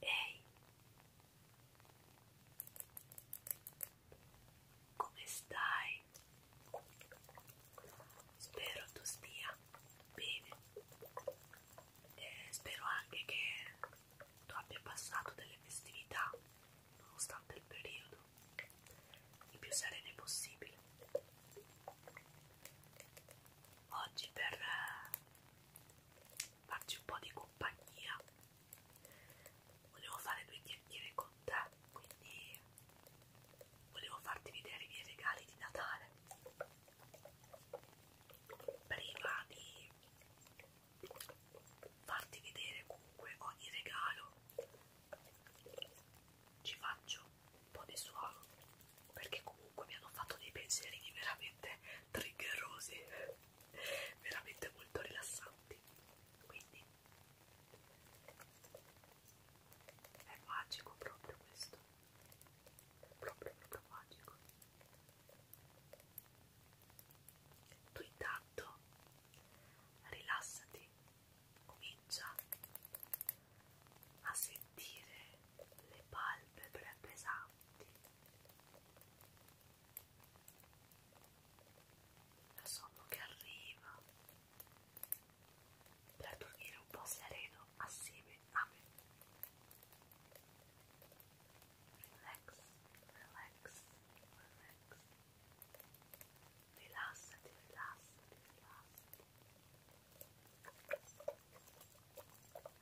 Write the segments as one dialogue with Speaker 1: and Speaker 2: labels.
Speaker 1: Ehi, come stai? Spero tu stia bene e spero anche che tu abbia passato delle festività nonostante il periodo i più sereni possibili. Oggi per eh, farci un po' di compagnia volevo fare due chiacchiere con te, quindi volevo farti vedere i miei regali di Natale prima di farti vedere comunque ogni regalo ci faccio un po' di suono perché comunque mi hanno fatto dei pensierini veramente triggerosi veramente molto rilassanti quindi è magico proprio questo proprio proprio magico tu intanto rilassati comincia a sentire le palpebre pesanti la sonno che arriva per dormire un po' sereno assieme a me relax relax relax rilassati, rilassati, rilassati. Rilassati,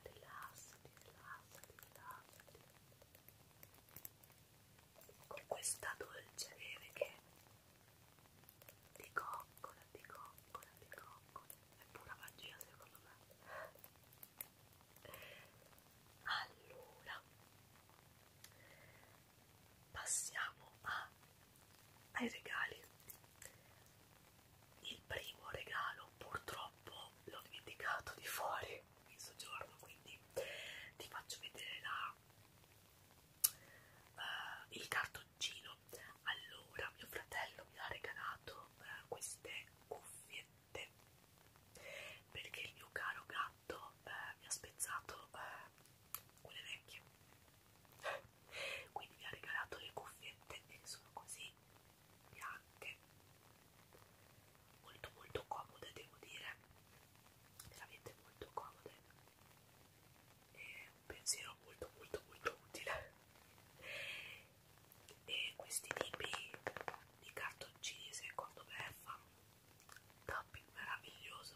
Speaker 1: rilassati, rilassati. Con questa dolce neve che ti coccola, ti coccola, ti coccola. È pura magia secondo me. Allora, passiamo a, ai regali. Il primo regalo purtroppo l'ho dimenticato di fuori in soggiorno, quindi ti faccio vedere la, uh, il cartoncino. Allora, mio fratello mi ha regalato uh, queste cuffiette perché il mio caro gatto fatto eh, mi ha spezzato eh, quelle vecchie quindi mi ha regalato le cuffiette che sono così bianche molto molto comode devo dire veramente molto comode è un pensiero molto molto molto utile e questi tipi di cartoncini secondo me fanno tapping meraviglioso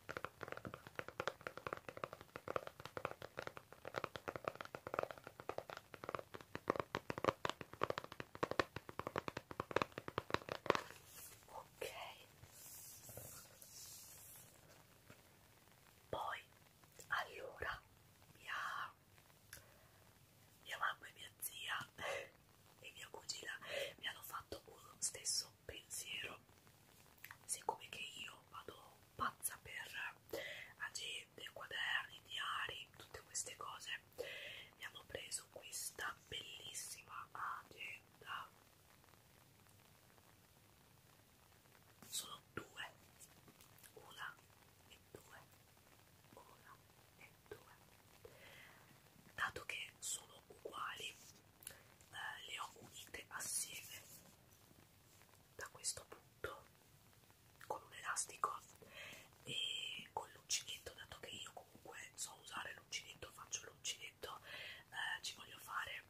Speaker 1: Ok. Poi allora mia, mia mamma e mia zia e mia cugina mi hanno fatto uno stesso passa un pensiero siccome che io vado pazza per agende, quaderni, diari, tutte queste cose mi hanno preso questa bellissima agenda sono due una e due una e due dato che sono uguali eh, le ho unite assieme da questo punto con un elastico e con l'uncinetto dato che io comunque so usare l'uncinetto faccio l'uncinetto eh, ci voglio fare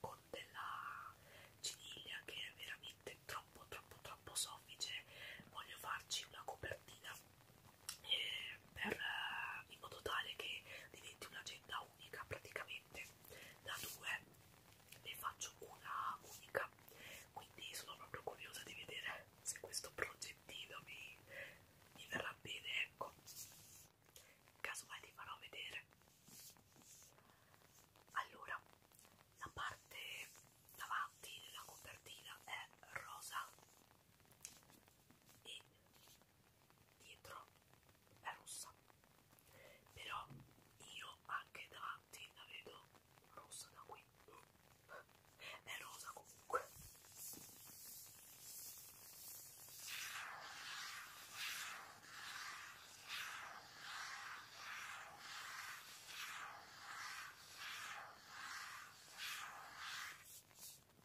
Speaker 1: con della ciniglia che è veramente troppo troppo troppo soffice voglio farci una copertina eh, per, eh, in modo tale che diventi un'agenda unica praticamente da due ne faccio una unica quindi sono proprio curiosa di vedere se questo progettino mi, mi verrà bene ecco casomai ti farò vedere allora la parte davanti della copertina è rosa e dietro è rossa però io anche davanti la vedo rossa da qui è rosa comunque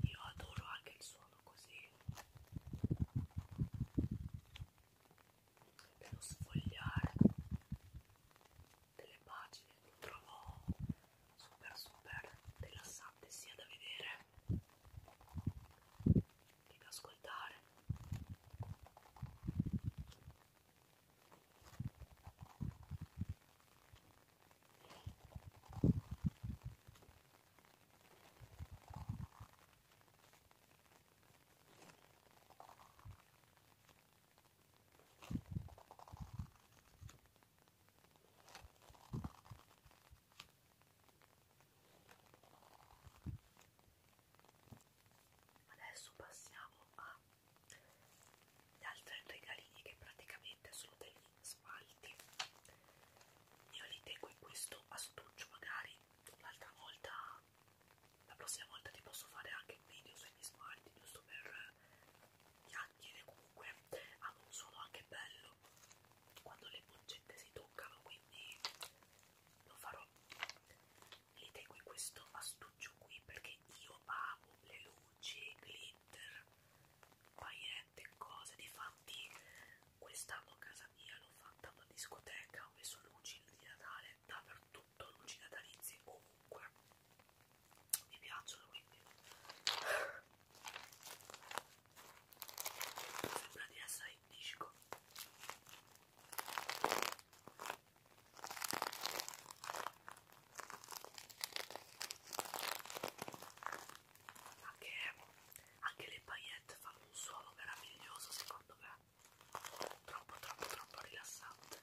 Speaker 1: Io adoro anche il suono così dello sfogliare delle pagine lo trovo super super rilassante sia da vedere proprio ascoltare adesso passiamo agli altri regalini che praticamente sono degli smalti io li tengo in questo astuccio magari l'altra volta la prossima volta ti posso fare anche un video sugli smalti giusto per chiacchiere comunque hanno ah, un suono anche bello quando le boccette si toccano quindi lo farò li tengo in questo astuccio qui perché io amo le luci, glitter, paillette, cose. Difatti, quest'anno a casa mia l'ho fatta una discoteca. Ho messo luci di Natale dappertutto, luci natalizie ovunque. Mi piacciono quindi. Sembra di essere indisco anche, anche le paillette fanno un suono meraviglioso secondo me troppo troppo troppo rilassante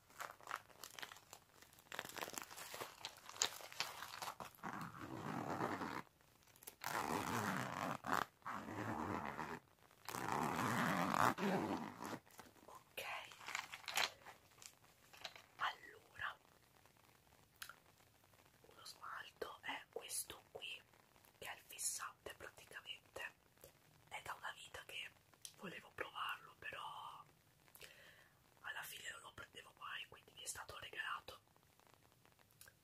Speaker 1: Ok, allora uno smalto è questo qui che è il fissante praticamente è da una vita che volevo provarlo, però alla fine non lo prendevo mai, quindi mi è stato regalato.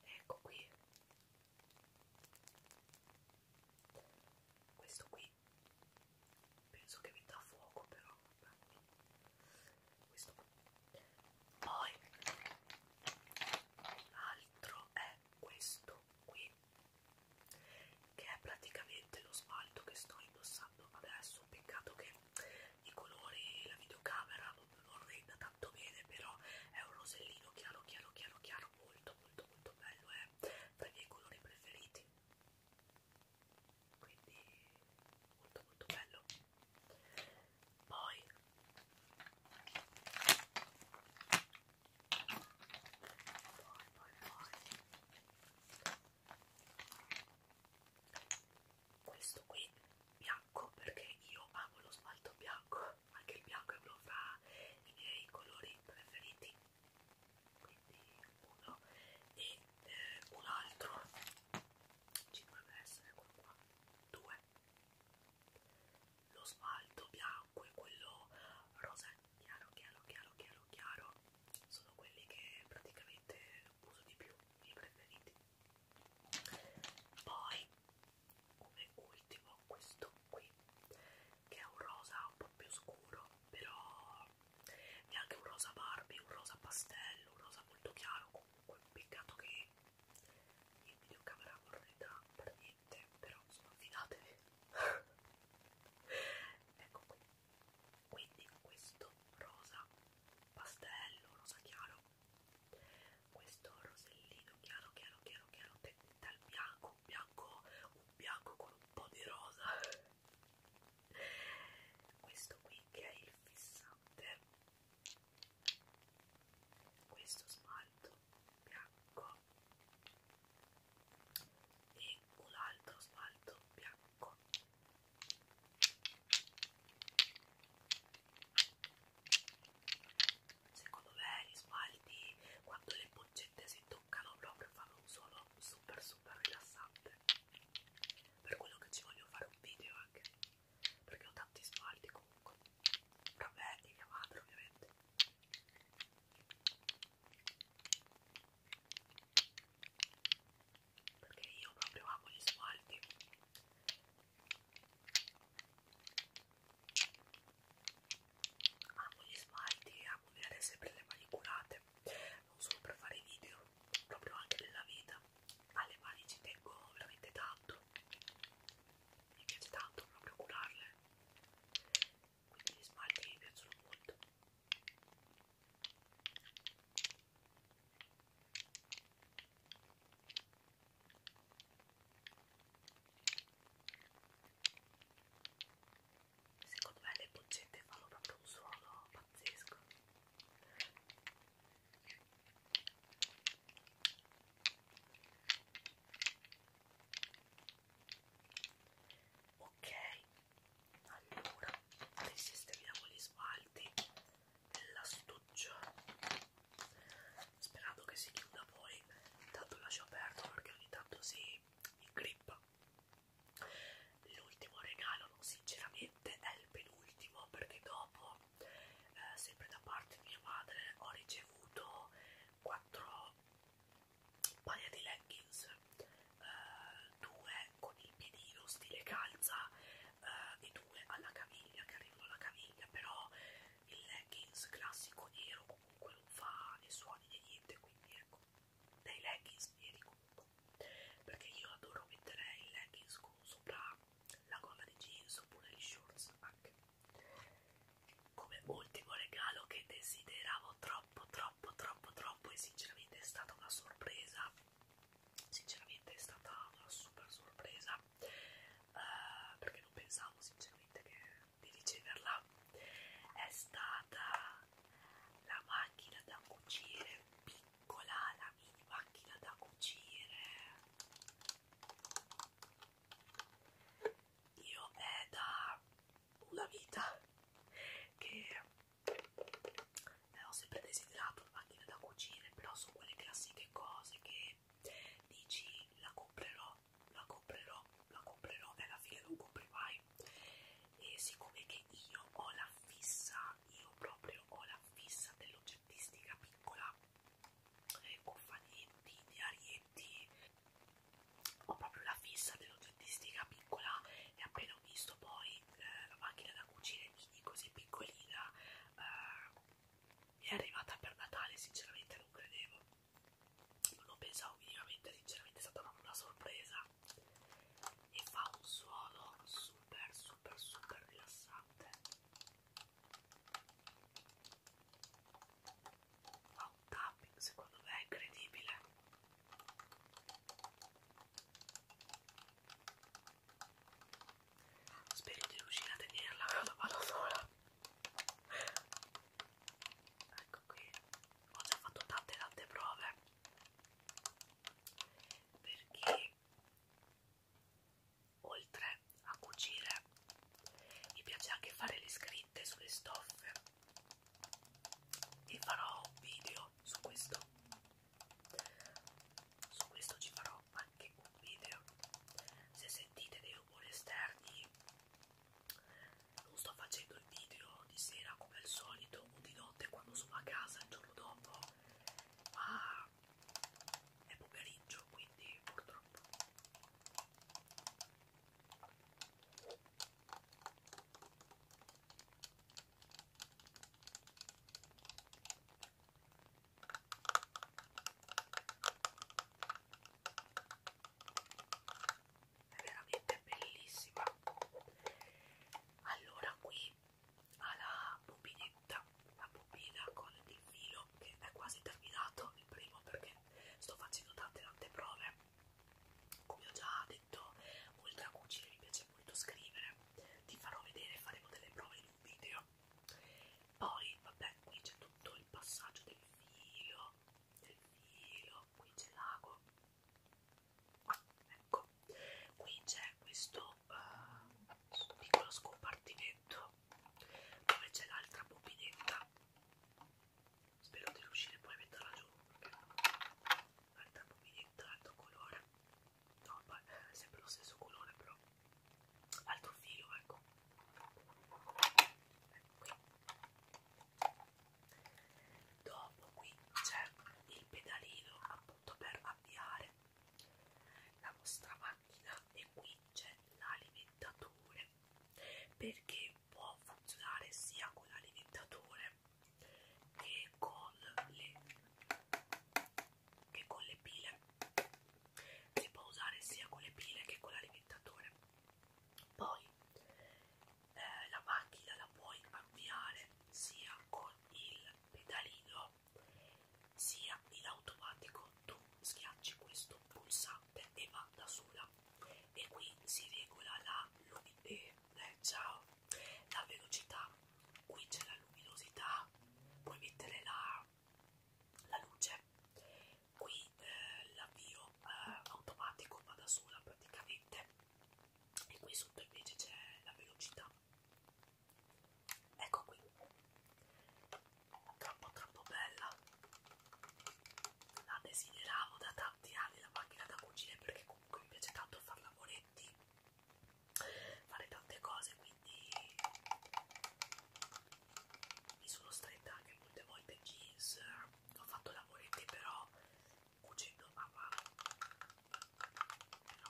Speaker 1: Ecco qui. Questo qui penso che mi dà fuoco però questo qui. poi l'altro è questo qui che è praticamente lo smalto che sto indossando adesso peccato che i colori la videocamera non, non renda tanto bene però è un rosellino chiaro chiaro chiaro chiaro molto molto molto bello è eh. tra i miei colori preferiti quindi molto molto bello poi poi, poi, poi. Questo qui bianco perché io amo lo smalto bianco, anche il bianco è uno fra i miei colori preferiti. Quindi uno e eh, un altro ci dovrebbe essere quello qua. Due. Lo smalto bianco e quello rosa e chiaro chiaro chiaro chiaro chiaro sono quelli che praticamente uso di più i preferiti poi come ultimo questo qui che è un rosa un po' più scuro però neanche un rosa Barbie un rosa pastello un rosa molto chiaro comunque peccato che in videocamera guarda per niente niente, però insomma fidatevi. ecco qui. Quindi questo rosa pastello, rosa chiaro, questo rosellino chiaro, chiaro, chiaro, chiaro, dal bianco, un bianco, un bianco con un po' di rosa. Questo qui che è il fissante questo smalto bianco e un altro smalto bianco secondo me gli smalti quando le boccette si toccano proprio fanno un suono super super rilassante per quello che ci voglio fare un video anche perché ho tanti smalti comunque tra me e mia madre ovviamente perché io proprio amo gli smalti amo gli smalti e amo avere sempre le mani curate non solo per fare i video proprio anche nella vita alle mani ci tengo veramente tanto mi piace tanto proprio curarle quindi gli smalti mi piacciono molto secondo me le boccette fanno proprio un suono pazzesco ok allora risistemiamo gli smalti dell'astuccio sperando che si chiuda poi tanto lascio aperto perché ogni tanto si ingrippa l'ultimo regalo no, sinceramente è il penultimo perché dopo eh, sempre da parte di mia madre ho ricevuto quattro paia di leggings, eh, due con il piedino stile calza eh, e due alla caviglia che arrivano alla caviglia, però il leggings classico nero comunque non fa né suoni né niente, quindi ecco, dei leggings neri comunque, perché io adoro mettere il leggings con sopra la gonna di jeans oppure gli shorts anche come ultimo regalo che desideravo troppo troppo troppo troppo e sinceramente è stata una sorpresa sinceramente è stata una super sorpresa uh, perché non pensavo sinceramente che, di riceverla è stata la macchina da cucire piccola la mini macchina da cucire io è da una vita che eh, ho sempre desiderato una macchina da cucire, però sono quelle classiche cose che dici la comprerò, la comprerò, la comprerò e alla fine non compri mai. E siccome che io ho la fissa, io proprio ho la fissa dell'oggettistica piccola, buffanetti, diarietti, ho proprio la fissa dell'autentistica piccola e appena ho visto poi eh, la macchina da cucire mini così piccolina eh, mi è arrivata per Natale, sinceramente non credevo, non lo pensavo minimamente, sinceramente è stata proprio una sorpresa e fa un suono super super super rilassante fa un tapping secondo me è incredibile spero di riuscire a tenerla con la mano sola ecco qui ho già fatto tante tante prove perché oltre a cucire mi piace anche fare le scritte sulle stoffe e farò un video su questo su questo ci farò anche un video se sentite dei rumori esterni non sto facendo il video di sera come al solito o di notte quando sono a casa il giorno dopo ma è pomeriggio quindi purtroppo è veramente bellissima allora qui ha la bobinetta la bobina con il filo video che è quasi terminato, il primo perché sto facendo tante tante prove, come ho già detto, oltre a cucire mi piace molto scrivere, ti farò vedere, faremo delle prove in un video. Poi, vabbè, qui c'è tutto il passaggio del filo, del filo, qui c'è l'ago, ah, ecco, qui c'è questo uh, piccolo scompartimento dove c'è l'altra bobinetta spero di riuscire poi a metterla giù perché alta mobilità, alto colore no, ma è sempre lo stesso colore però altro filo, ecco ecco qui dopo qui c'è il pedalino appunto per avviare la vostra macchina e qui c'è l'alimentatore bene perché può funzionare sia con l'alimentatore che con le che con le pile si può usare sia con le pile che con l'alimentatore poi eh, la macchina la puoi avviare sia con il pedalino sia in automatico tu schiacci questo questo pulsante e va da sola e qui si regola la eh, eh, ciao la velocità qui c'è la luminosità puoi mettere la, la luce qui eh, l'avvio eh, automatico va da sola praticamente e qui sotto invece c'è la velocità ecco qui troppo troppo bella la desideravo da tanti anni la macchina da cucire perché comunque mi piace tanto fare lavoretti fare tante cose quindi mi sono stretta anche molte volte jeans ho fatto lavoretti però cucendo a mano però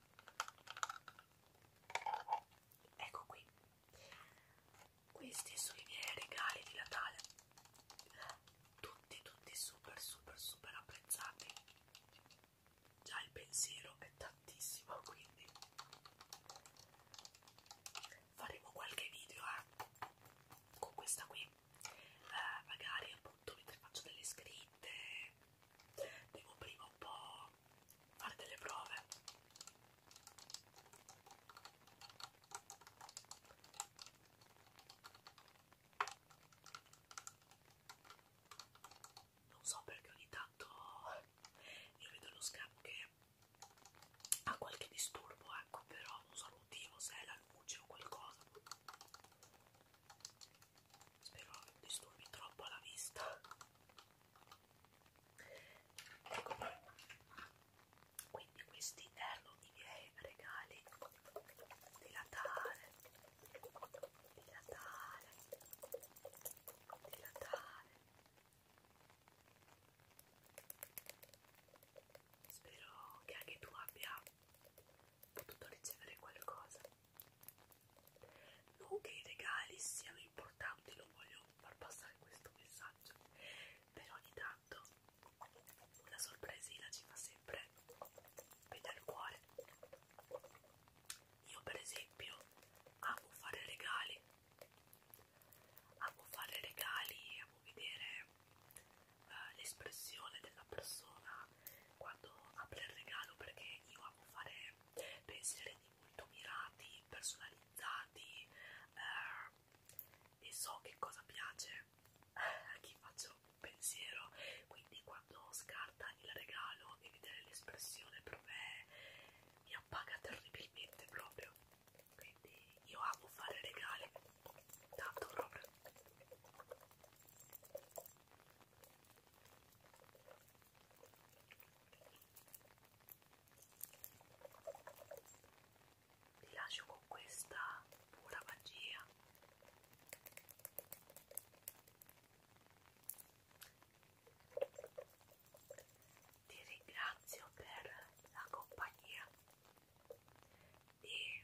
Speaker 1: Ecco qui. Questi sono i miei regali di Natale. Tutti, tutti super, super, super apprezzati. Già il pensiero è tantissimo, quindi faremo qualche video eh, con questa qui. Eh, magari appunto mentre faccio delle scritte devo prima un po' fare delle prove non so perché ogni tanto io vedo lo schermo che ha qualche disturbo ecco però non so il motivo se è la luce o qualcosa spero non disturbi troppo la vista ecco poi quindi questi erano i miei regali di Natale di Natale di Natale spero che anche tu abbia potuto ricevere qualcosa non che i regali siano importanti, non voglio far passare questo messaggio, però ogni tanto una sorpresina ci fa sempre vedere il cuore. Io per esempio amo fare regali, amo fare regali, amo vedere eh, l'espressione della persona quando apre il regalo perché io amo fare pensieri molto mirati, personalizzati eh, e so che cosa piace a chi faccio un pensiero quindi quando scarta il regalo e vedere l'espressione per me mi appaga terribilmente proprio quindi io amo fare regali tanto proprio vi lascio con questa pura magia ti ringrazio per la compagnia e